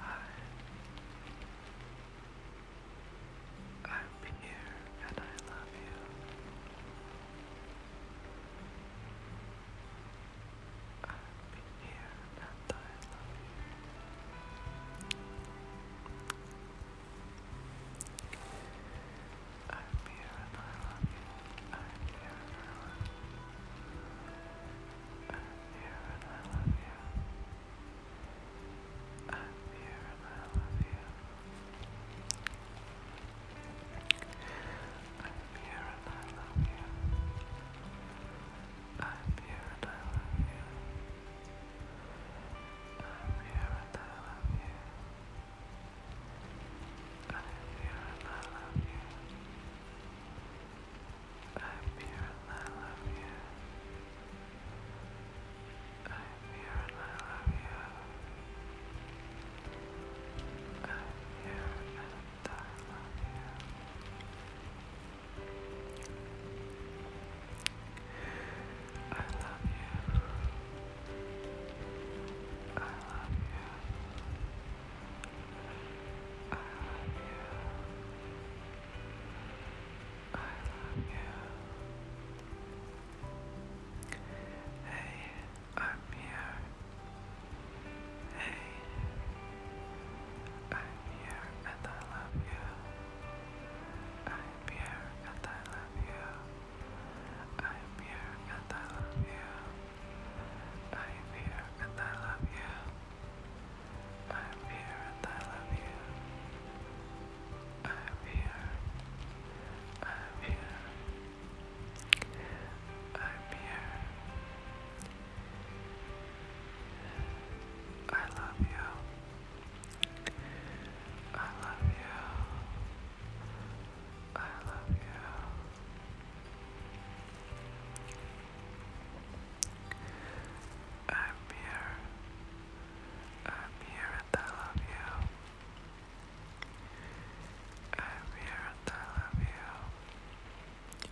I, I'm here and I love you. I'm here and I love you. I'm here and I love you. I'm here and I love you. I'm here and I love you. I'm here and I love you. I'm here and I love you. I'm here and I love you. I'm here and I love you. I'm here and I love you. I'm here and I love you. I'm here and I love you. you. I love you. I love you. I love you. I love you. Hey, I'm here. Hey, I'm here and I love you. I'm here and I love you. I'm here and I love you. I'm here and I love you. I'm here and I love you. I'm here. I'm here. I'm here. I love you. I love you. I love you. I'm here. I'm here and I love you. I'm here and I love you.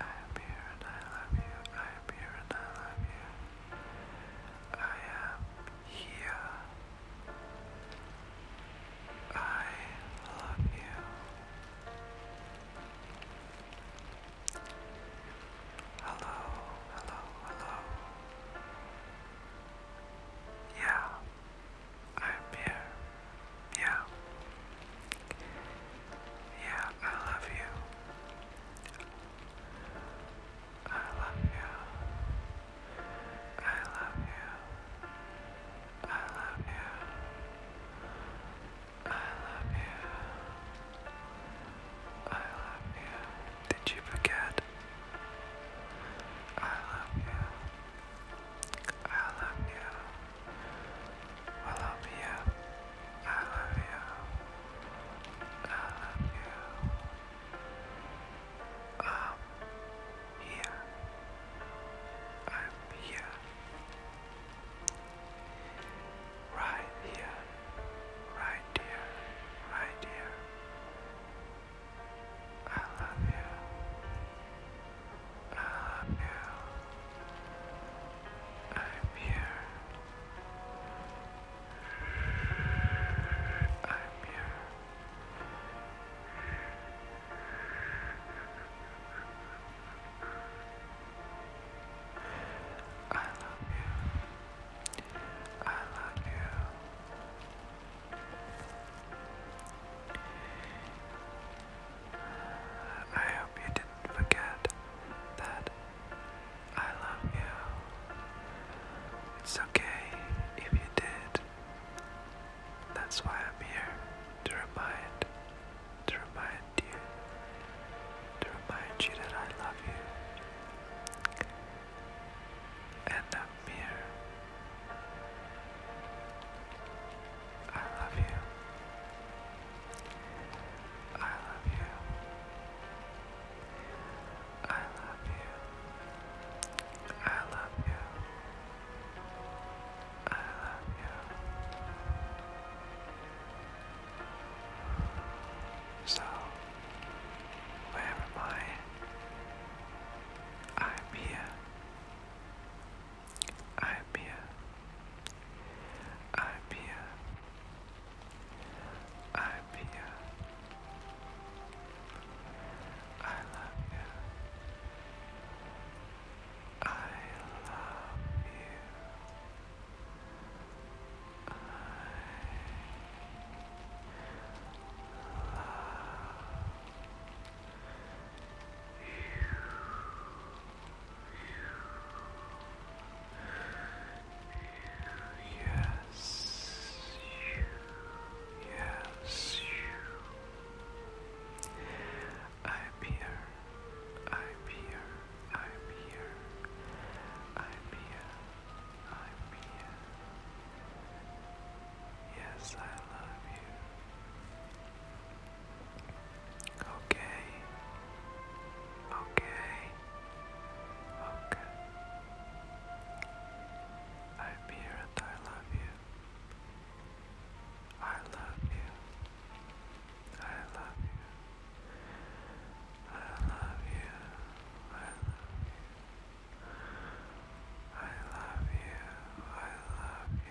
I am here and I love you. I am here and I love you. I am here. I love you. Hello, hello, hello. Yeah, I'm here. Yeah. Yeah, I love you. I love you. I love you. I love you. I love you. I love you. Did you forget? I love you. I love you. I love you. I love you. I love you. I love you. I'm here. I'm here. Right here. Right here. Right here. I love you. I love you. I'm here. I'm here. I love you. I love you. I hope you didn't forget that I love you. It's okay if you did. That's why I'm here to remind, to remind you, to remind you that I love you. And I'm here I love you. I love you. I love you. I love you. I love you. So, where am I? I'm here. I'm here. I'm here. I'm here. I love you. I love you. I love you. Yes, you. Yes, you. I'm here. I'm here. I'm here. I'm here. I'm here. Yes, I love you. Okay. Okay. Okay. I'm here and I love you. I love you. I love you. I love you. I love you. I love you. I love you.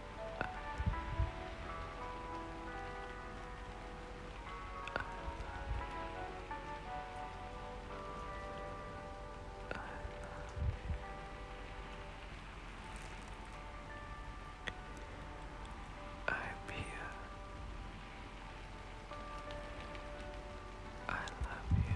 I'm here. I love you.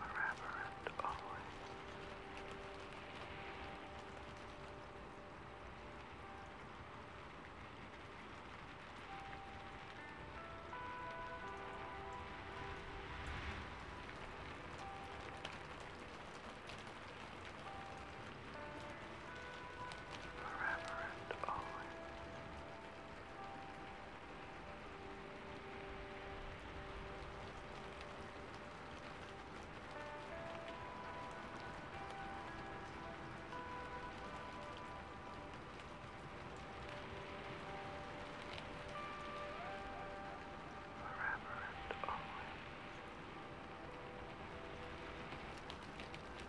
Irreverent always the Reverend Owen. The Reverend Owen. The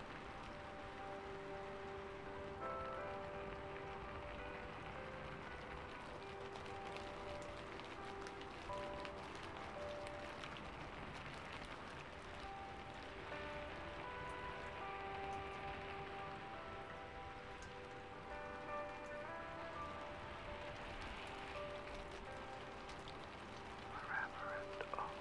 Reverend Owen.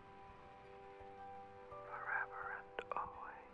forever and always.